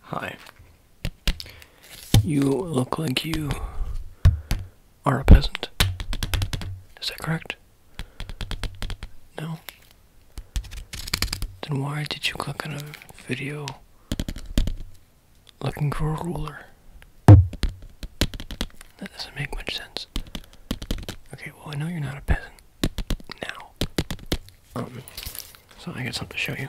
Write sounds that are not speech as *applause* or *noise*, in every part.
Hi. You look like you are a peasant. Is that correct? No? Then why did you click on a video looking for a ruler. That doesn't make much sense. Okay, well, I know you're not a peasant now. Um, so I got something to show you.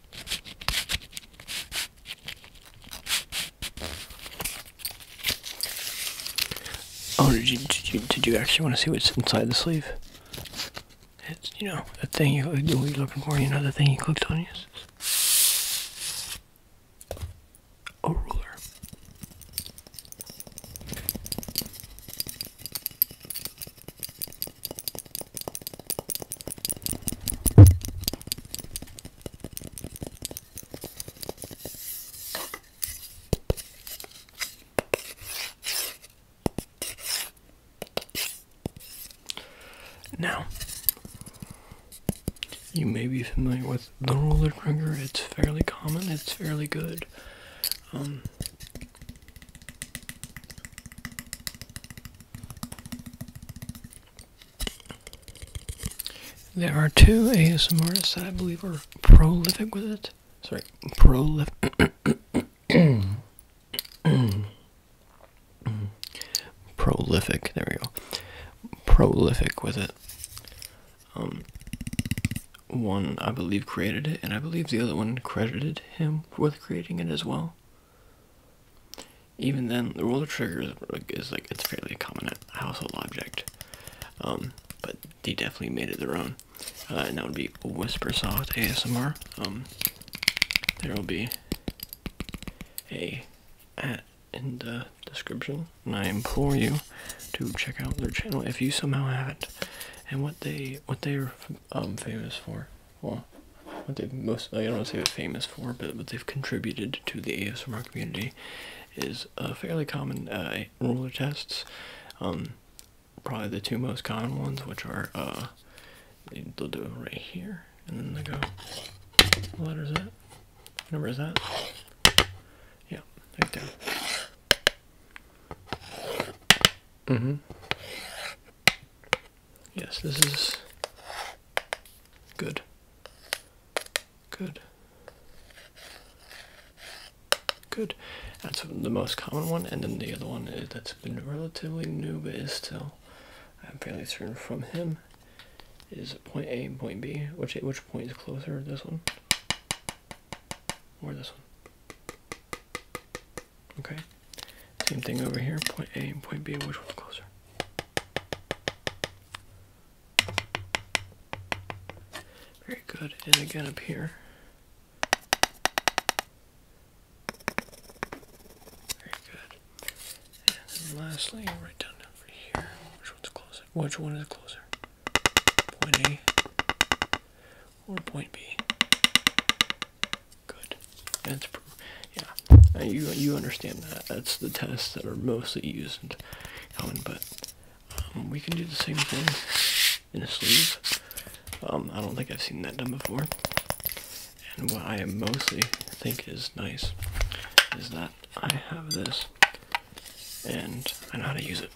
Oh, did you, did you, actually want to see what's inside the sleeve? It's, you know, the thing you, you were looking for, you know, the thing you clicked on, yes? A ruler. Now, you may be familiar with the roller trigger. It's fairly common. It's fairly good. Um, there are two ASMRs that I believe are prolific with it. Sorry, prolific. prolific. There we go. Prolific with it. Um, one I believe created it, and I believe the other one credited him with creating it as well. Even then, the roller trigger is, is like it's fairly a common household object, um, but they definitely made it their own. Uh, and that would be Whispersoft ASMR. Um, there will be a at in the description, and I implore you to check out their channel if you somehow haven't, and what they what they're um, famous for well, what they've most, I don't want to say famous for, but what they've contributed to the ASMR community is fairly common uh, ruler tests. Um, probably the two most common ones, which are uh, they'll do right here, and then they go, what letter is that? number is that? Yeah, right there. Mm hmm. Yes, this is good. Good. Good. That's the most common one, and then the other one that's been relatively new but is still, I'm fairly certain from him, is point A and point B. Which which point is closer, this one or this one? Okay. Same thing over here. Point A and point B. Which one's closer? Very good. And again up here. Very good. And lastly, right down over here. Which one's closer? Which one is closer? Point A or point B? Good. That's yeah. Uh, you you understand that. That's the tests that are mostly used but um, we can do the same thing in a sleeve. Um, I don't think I've seen that done before. And what I mostly think is nice is that I have this and I know how to use it.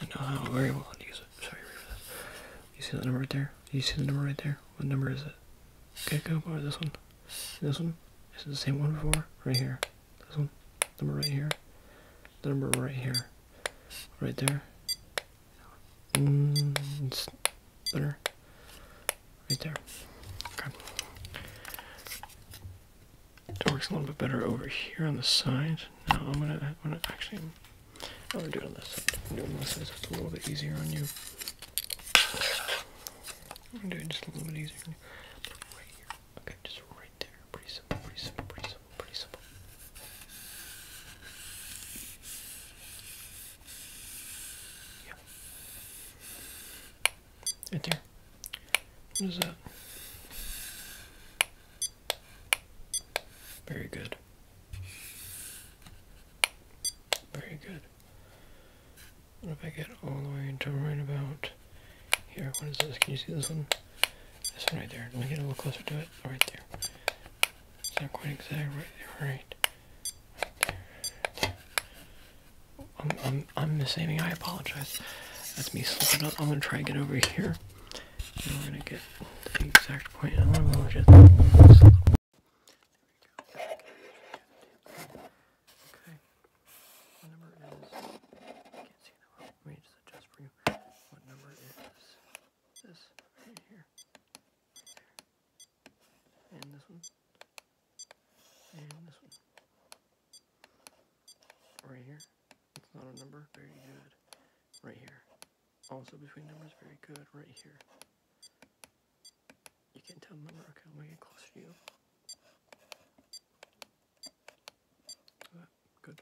I know how very well to use it. Sorry You see that number right there? You see the number right there? What number is it? Okay, go over this one. This one? Is it the same one before? Right here. This one? Number right here? The number right here. Right there. Mm, it's better. Right there. Okay. It works a little bit better over here on the side. Now I'm gonna, I'm gonna actually I'm gonna do it on this side. I'm doing this side so it's a little bit easier on you. I'm doing just a little bit easier Okay, just right there. Pretty simple, pretty simple, pretty simple, pretty simple. Right there. What is that? Very good. Very good. What if I get all the way to right about here? What is this? Can you see this one? This one right there. Let me get a little closer to it. Oh, right there. It's not quite exactly Right Right. I'm, I'm, I'm misaiming. I apologize. That's me slipping up. I'm going to try and get over here. And we're gonna get the exact point. Okay. What number is can't see that well. Let me just adjust for you. What number is this? Right here. And this one. And this one. Right here. It's not a number. Very good. Right here. Also between numbers, very good, right here. You can tell number, okay, I'm gonna get closer to you. Good, good.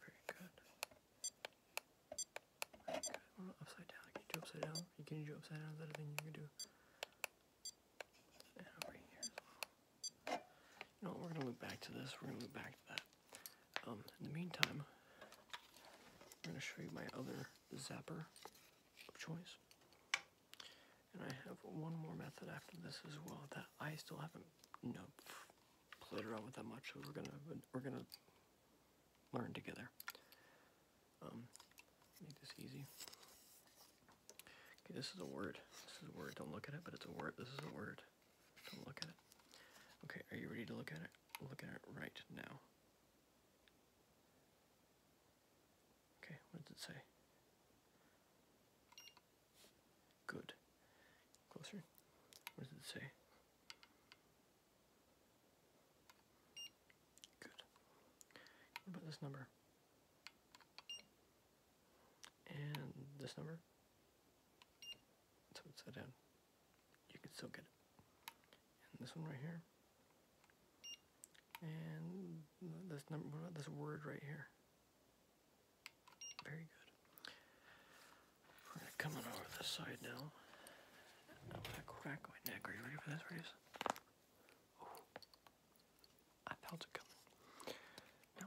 Very good. Very upside down, you do upside down. You can do upside down, is that a thing you can do? And here You know, we're gonna move back to this, we're gonna move back to that. Um, in the meantime, I'm going to show you my other zapper of choice. And I have one more method after this as well that I still haven't, you know, played around with that much. So we're gonna we're gonna learn together. Um, make this easy. Okay, this is a word. This is a word. Don't look at it, but it's a word. This is a word look at it. Okay, are you ready to look at it? Look at it right now. Okay, what does it say? Good. Closer. What does it say? Good. about this number? And this number? So it's that down you can still get it. And this one right here. And this number, what about this word right here? Very good. we over this side now. I'm gonna crack my neck. Are you ready for this I felt it coming. No.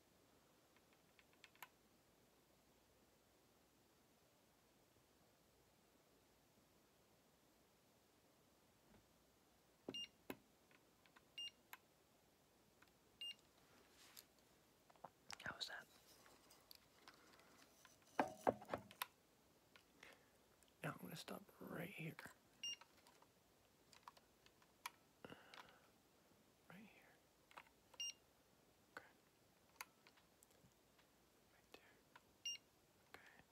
How was that? Now I'm going to stop right here. Right here. Okay. Right there. Okay.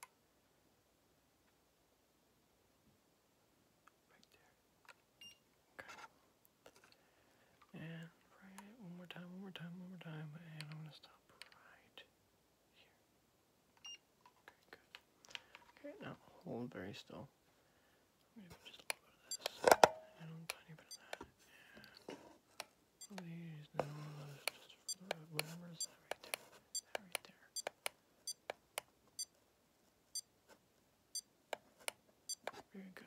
Right there. Okay. And right one more time, one more time, one more time, and I'm gonna stop right here. Okay, good. Okay, now hold very still. Maybe just a little bit of this, and a tiny bit of that, and these, no, just whatever is that right there, that right there. Very good.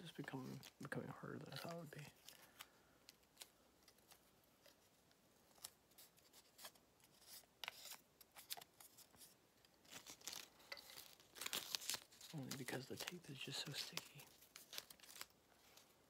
This is becoming becoming harder than I thought it would be. Only because the tape is just so sticky.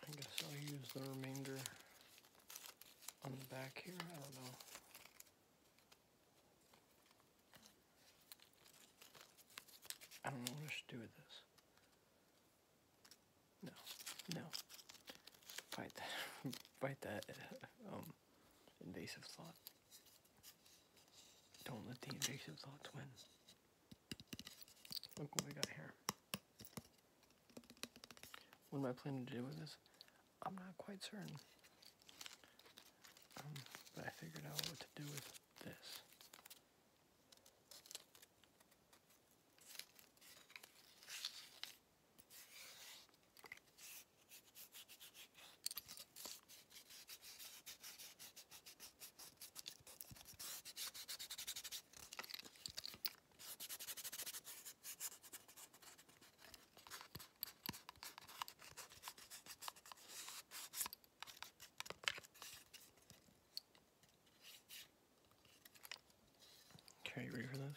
I guess I'll use the remainder on the back here. I don't know. I don't know what I should do with this. No, no. Fight that. *laughs* Fight that *laughs* um, invasive thought. Don't let the invasive thoughts win. Look what we got here. What am I planning to do with this? I'm not quite certain. Um, but I figured out what to do with this. Okay, ready for this?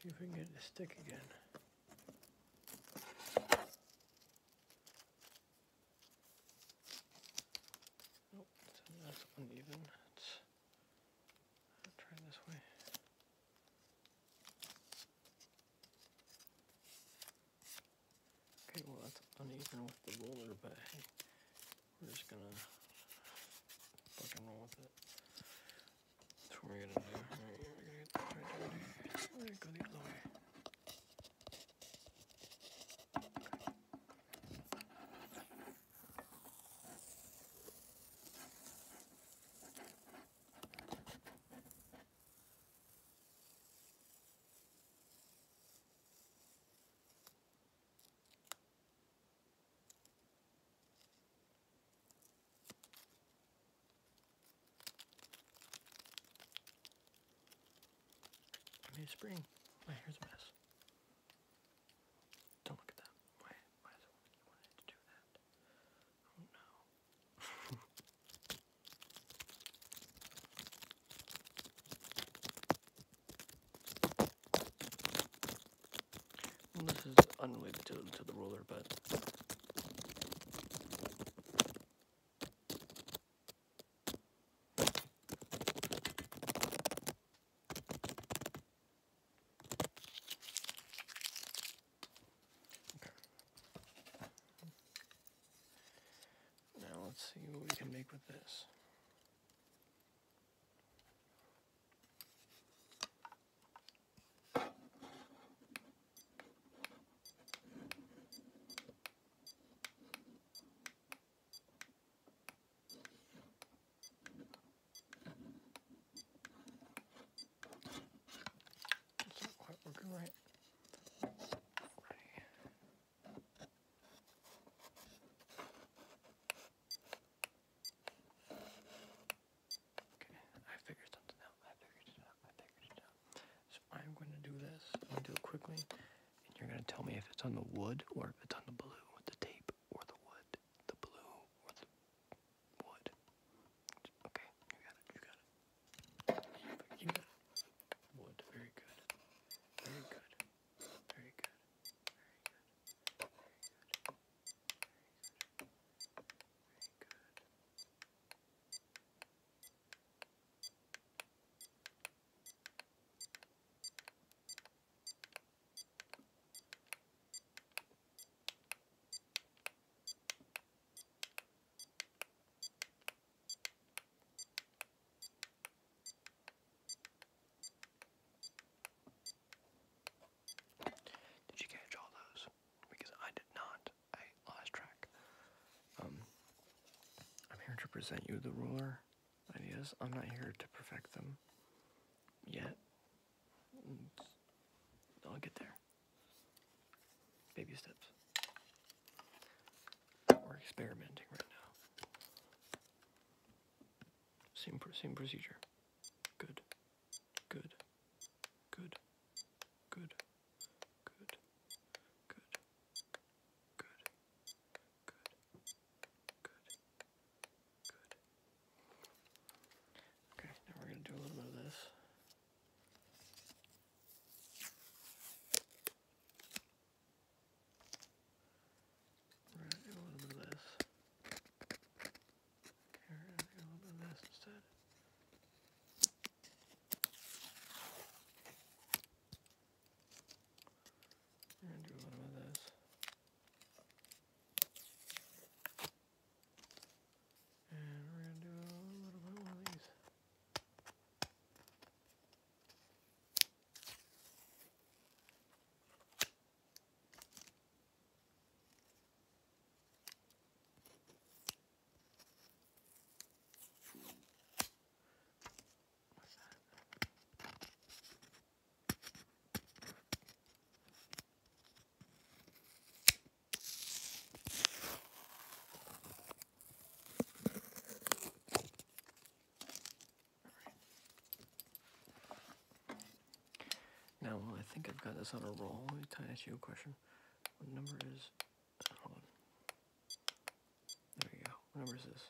See if we can get the stick again. Nope, that's uneven. I'll try this way. Okay, well that's uneven with the roller, but hey, we're just gonna fucking roll with it. That's what we're gonna do. Alright, we're gonna get this right down here. We're gonna go the other way. I made a spring. My hair's a mess. Don't look at that. Why, why is it you to do that? Oh no. *laughs* this is unrelated to, to the ruler, but. Okay. Now let's see what we can make with this. Okay, I figured something out. I figured it out. I figured it out. So I'm going to do this. I'm going to do it quickly and you're going to tell me if it's on the wood or if it's on the blue, the tape or the wood, the blue or the wood. Okay, you got it, you got it. You got it. Wood, Very good. Very good. Very good. Very good. Very good. Very good. Did you catch all those? Because I did not. I lost track. Um, I'm here to present you the ruler ideas. I'm not here to perfect them yet. I'll get there. Baby steps. We're experimenting right now. Same, procedure. Good. Good. Good. Good. Good. Good. Good good. Okay, now we're going to do a little of this. We're going to do a little of this. we're going to do a little of this instead. We're going to do a little bit of this. And we're going to do a little bit more of these. What's that? Now, I think I've got this on a roll. Let me ask you a question. What number is... There you go. What number is this?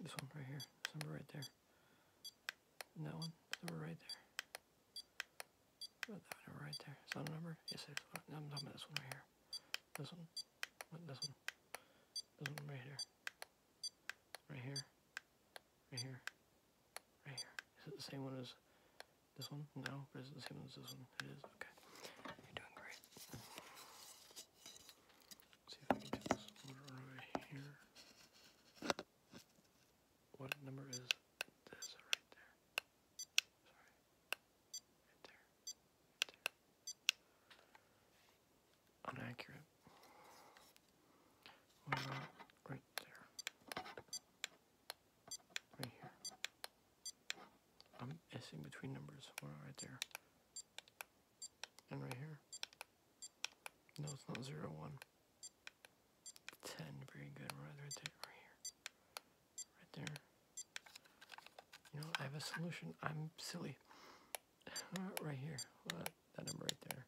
This one right here, this number right there. And that one, number right there. Put that number right there. Is that a number? Yes, it is. I'm talking about this one right here. This one. This one. This one right here. Right here. Right here. Right here. Is it the same one as this one? No, but is it the same one as this one? It is. Okay. You're doing great. Let's see if I can get this one right here. What number is this right there? Sorry. Right Right there. right here. I'm missing between numbers. right there? And right here. No, it's not zero one. Ten, very good. right there, right here. Right there. You know, I have a solution. I'm silly. *sighs* Uh, right here. Well, that number right there.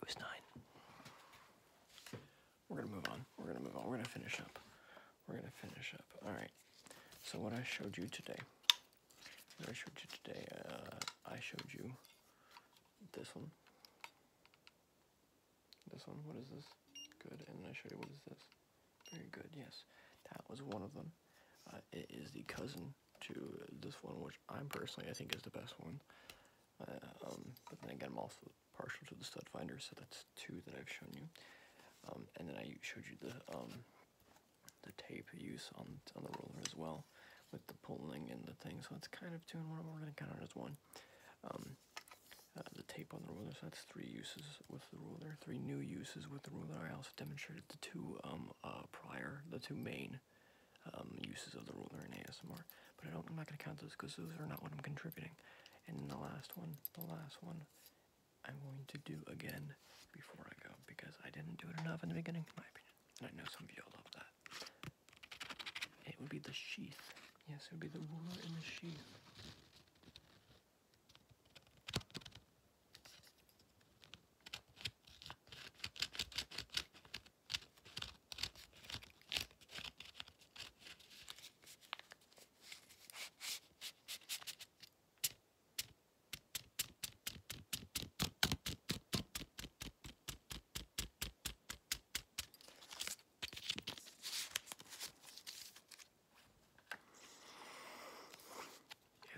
It was nine. We're gonna move on. We're gonna move on. We're gonna finish up. We're gonna finish up. All right. So what I showed you today I showed you today, uh, I showed you this one. This one, what is this? Good, and I showed you what is this. Very good, yes. That was one of them. Uh, it is the cousin to this one, which I'm personally I think is the best one. Uh, um, but then again, I'm also partial to the stud finder, so that's two that I've shown you. Um, and then I showed you the um, the tape use on, on the roller as well with the pulling and the thing so it's kind of two and one we're going to count it as one um, uh, the tape on the roller so that's three uses with the roller three new uses with the roller i also demonstrated the two um, uh, prior the two main um, uses of the roller in asmr but i don't i'm not going to count those because those are not what i'm contributing and the last one the last one I'm going to do again before I go because I didn't do it enough in the beginning, in my opinion. I know some of you love that. It would be the sheath. Yes, it would be the ruler in the sheath.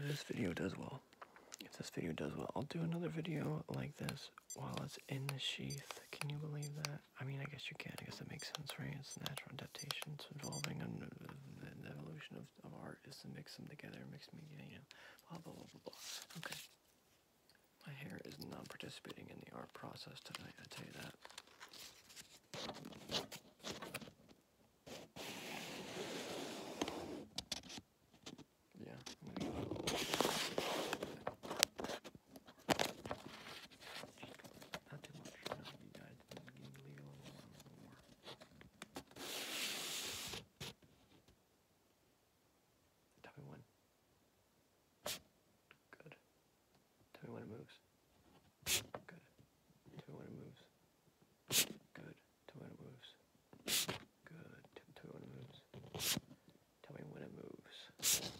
If this video does well, if this video does well, I'll do another video like this while it's in the sheath. Can you believe that? I mean, I guess you can. I guess that makes sense, right? It's natural adaptation. It's evolving an evolution of of, art is to mix them together, mix media, you know, blah, blah, blah, blah, blah. Okay. My hair is not participating in the art process tonight, I tell you that. Yeah, I'm going Not too much, Tell me when. Good. Tell me when it moves. Good. Tell me when it moves. Good. Tell me when it moves. Good. Tell me when it moves. Tell me when it moves. Tell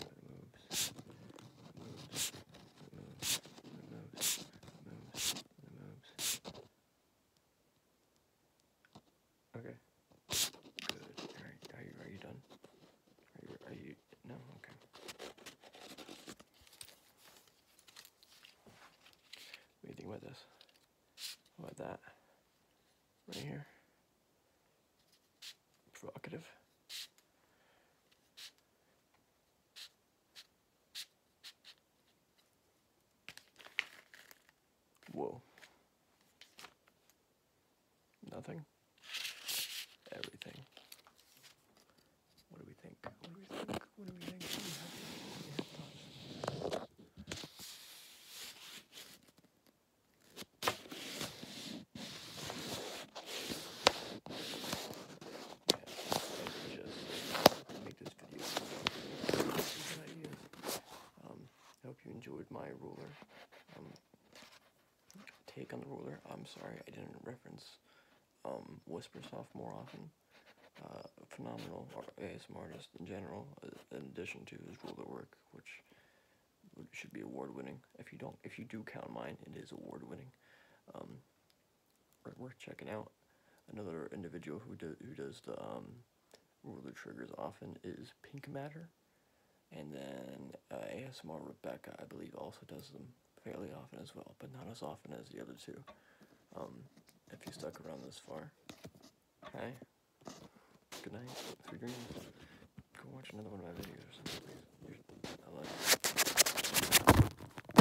me when it moves. It moves. It moves. It moves. It moves. Okay. Good. Alright, are you are you done? Are you are you no, okay. What do you think about this? What about that? Right here? Provocative. Whoa. Nothing. Everything. What do we think? What do we think? What do we think? Yeah, just make this um, I hope you enjoyed my ruler um, take on the ruler. I'm sorry I didn't reference um, Whisper Soft more often. Uh, phenomenal ASM artist in general, uh, in addition to his ruler work, which should be award-winning. If you don't, if you do count mine, it is award-winning. Um, Worth checking out another individual who do, who does the um, ruler triggers often is Pink Matter, and then uh, ASMR Rebecca I believe also does them fairly often as well, but not as often as the other two. Um, if you stuck around this far, hi, good night, three dreams. Go watch another one of my videos I love